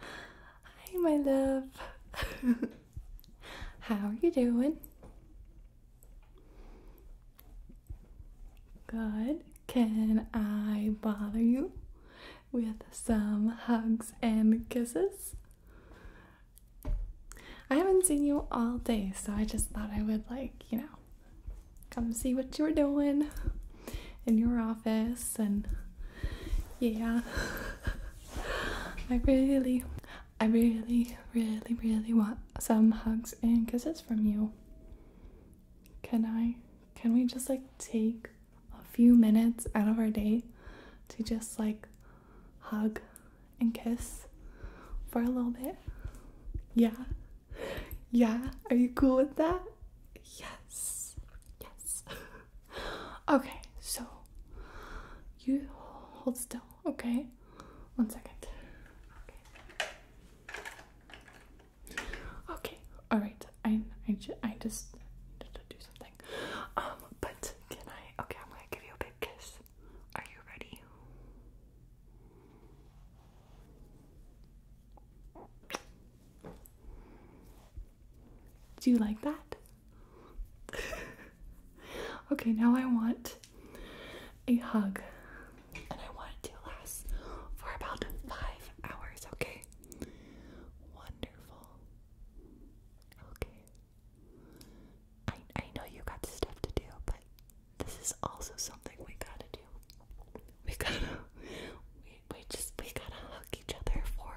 Hi, my love. How are you doing? Good. Can I bother you with some hugs and kisses? I haven't seen you all day, so I just thought I would, like, you know, come see what you are doing in your office and yeah I really I really really really want some hugs and kisses from you. Can I can we just like take a few minutes out of our day to just like hug and kiss for a little bit? Yeah yeah, are you cool with that? Yes, yes. okay, so you hold still, okay? One second. Okay. Okay. All right. I I, I just need to do something. Um. But can I? Okay. I'm gonna give you a big kiss. Are you ready? Do you like that? okay, now I want a hug. And I want it to last for about five hours, okay? Wonderful. Okay. I I know you got stuff to do, but this is also something we gotta do. We gotta, we, we just, we gotta hug each other for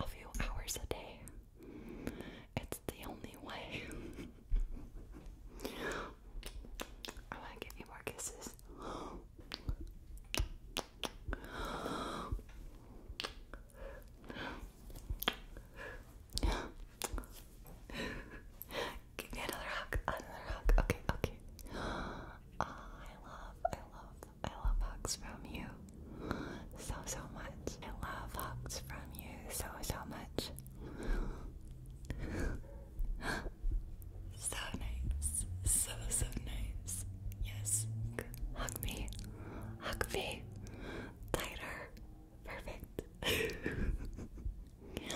a few hours a day. It's the only way. I wanna give you more kisses. Give me another hug. Another hug. Okay, okay. I love, I love, I love hugs from you so, so much. I love hugs from you so, so much. so nice. So, so nice. Yes. Hug me. Hug me. Tighter. Perfect. I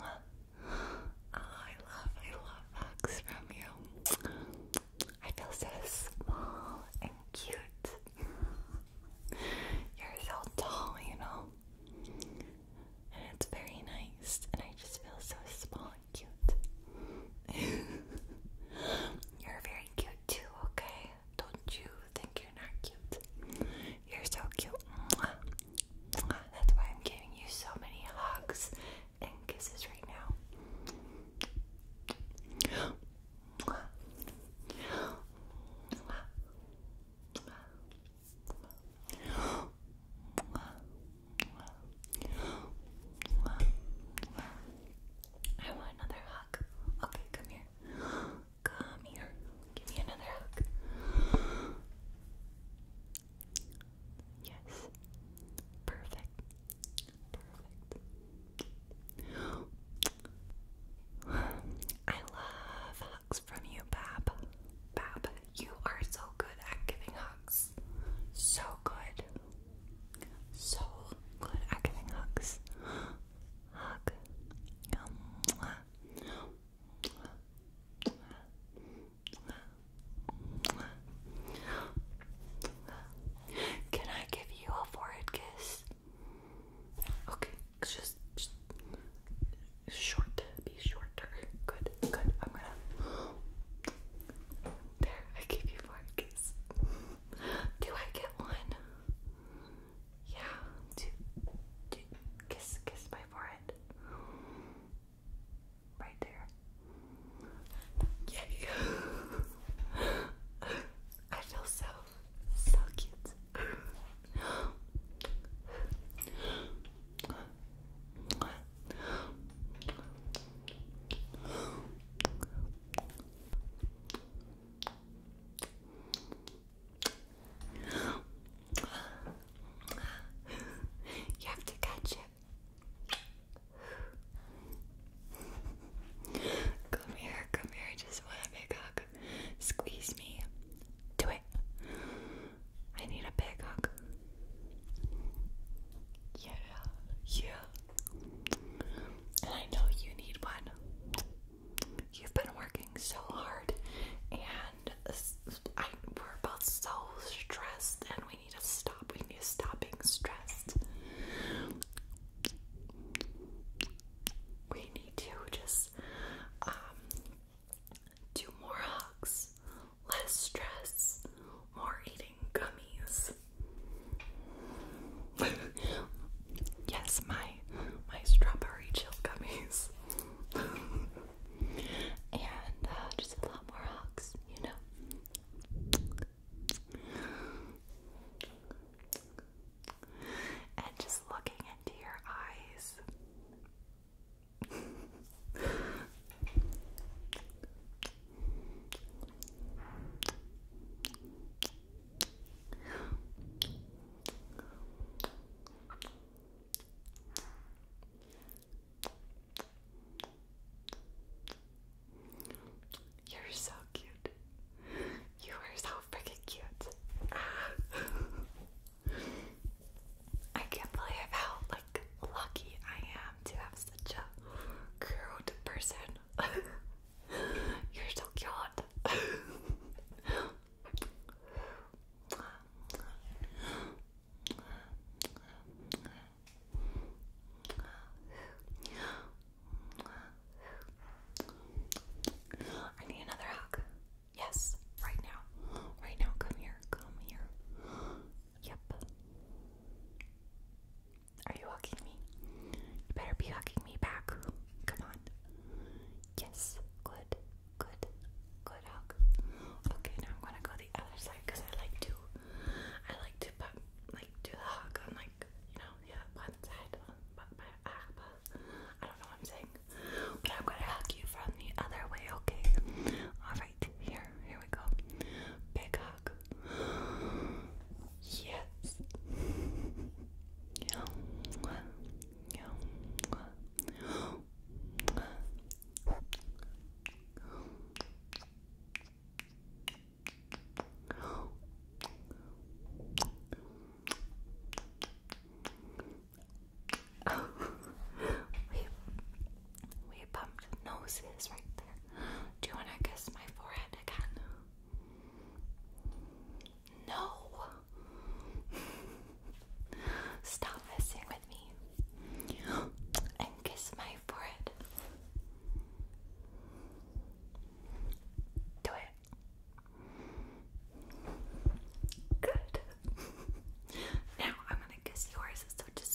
love, I love hugs from you. I feel so small and cute. You're so tall, you know? And it's very nice, and I just feel so small and cute. You're very cute too, okay? don't you think you're not cute? You're so cute. That's why I'm giving you so many hugs and kisses right now. I want another hug. Okay, come here. Come here. Give me another hug. Yes. Perfect. Perfect. I love hugs from you, Bab. Bab, you are so good at giving hugs. So good. So good at giving hugs. Hug. Can I give you a forehead kiss? Okay, just, just short, be shorter. Good, good. I'm gonna. There, I gave you forehead kiss. Do I get one? Yeah, to, to kiss kiss my forehead. Right there. Yay! I feel so so cute. You have to catch it. Come here, come here. I just want a big hug. Squeeze me. Do it. I need a big hug. Yeah, yeah. And I know you need one. You've been working so hard, and we're both so stressed, and we need to stop. We need to stop being stressed. We need to just um, do more hugs, less stress, more eating gummies. yes, my my strawberry chill gummies. and uh, just a lot more hugs, you know. And just looking into your eyes. You're so cute. You are so freaking cute. I can't believe how like lucky I am to have such a cute person. You're so cute. I need another hug. Yes, right now. Right now, come here, come here. Yep. Are you hugging me? You better be hugging me back. Come on. Yes. Good. Good. Good hug. Okay, now I'm gonna go the other side because I like to, I like to put, like do the hug on like you know the other one side. Uh, ah, but I don't know what I'm saying. But I'm gonna hug you from the other way. Okay. All right here. Here we go. Big hug. Yes. we we bumped noses right there. Do you want to kiss my forehead again? No! Stop messing with me and kiss my forehead. Do it. Good. now I'm gonna kiss yours, so just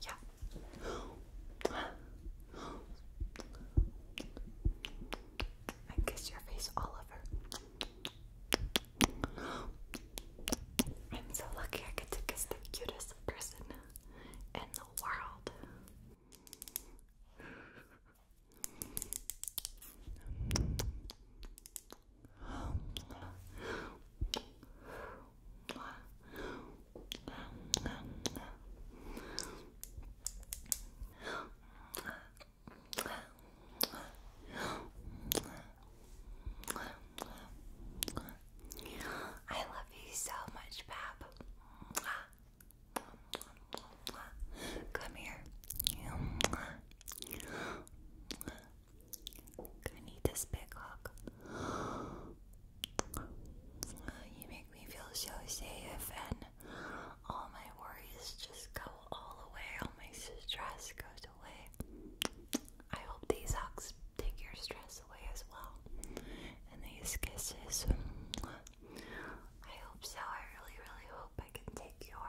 yeah. And kiss your face all over. I'm so lucky I get to kiss the cutest person in the world. I love you so much, Bab. Come here. I need this big hug. You make me feel so safe, and all my worries just go all away. All my stress goes away. I hope these hugs take your stress away as well, and these kisses. I hope so. I really, really hope I can take your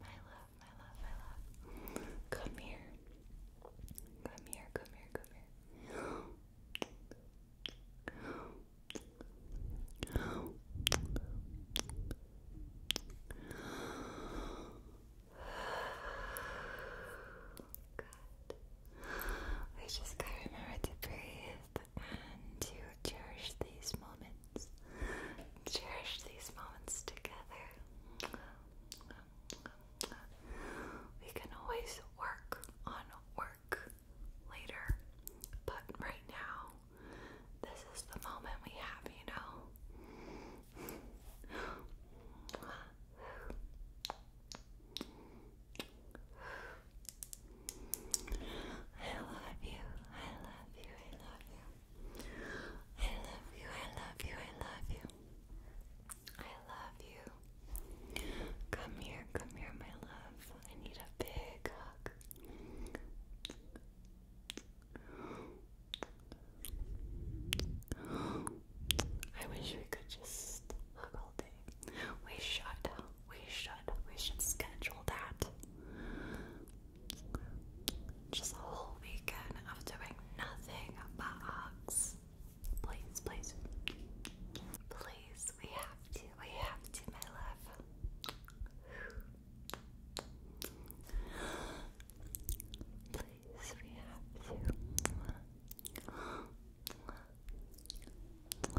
My love, my love, my love. Come here. Come here, come here, come here. Good. just gotta remember to breathe and to cherish these moments. Cherish these moments together. We can always work on work later, but right now, this is the moment we have, you know. I love you. I love you. I love you. I love you. I love you. I love you. I love you. Come here. Come here, my love. I need a big hug. I wish we could just hug all day. We should, we should, we should schedule that. Just a whole weekend of doing nothing but hugs. Please, please. Please, we have to, we have to, my Please, we have to. I love you, I love you, I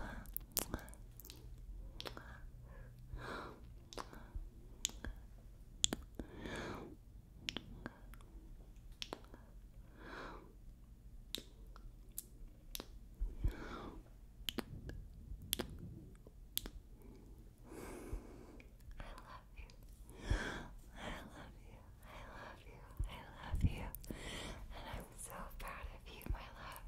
love you, and I'm so proud of you, my love.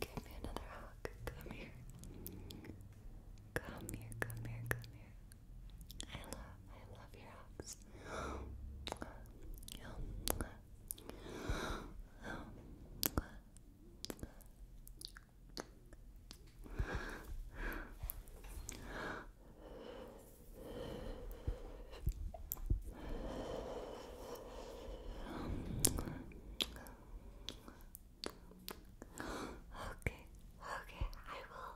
Give me another hug. Come here. Come here, come here, come here. I love, I love your hugs. Okay, okay, I will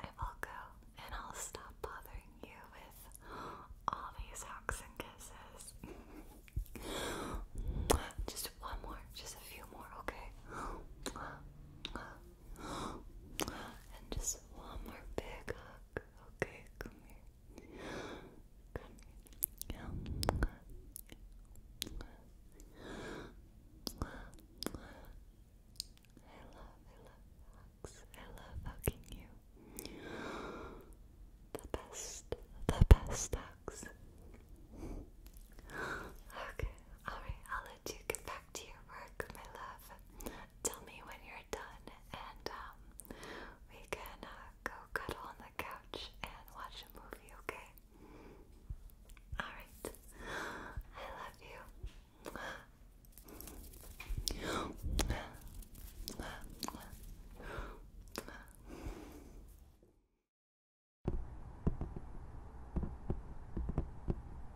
I will go and I'll stop bothering you with all these hugs kisses. just one more, just a few more, okay? And just one more big hug. Okay, come here hugs. I love hugging you. The best, the best hugs. okay, alright, I'll let you get back to your work, my love tell me when you're done, and um, we can uh, go cuddle on the couch and watch a movie, okay? Alright. I love you.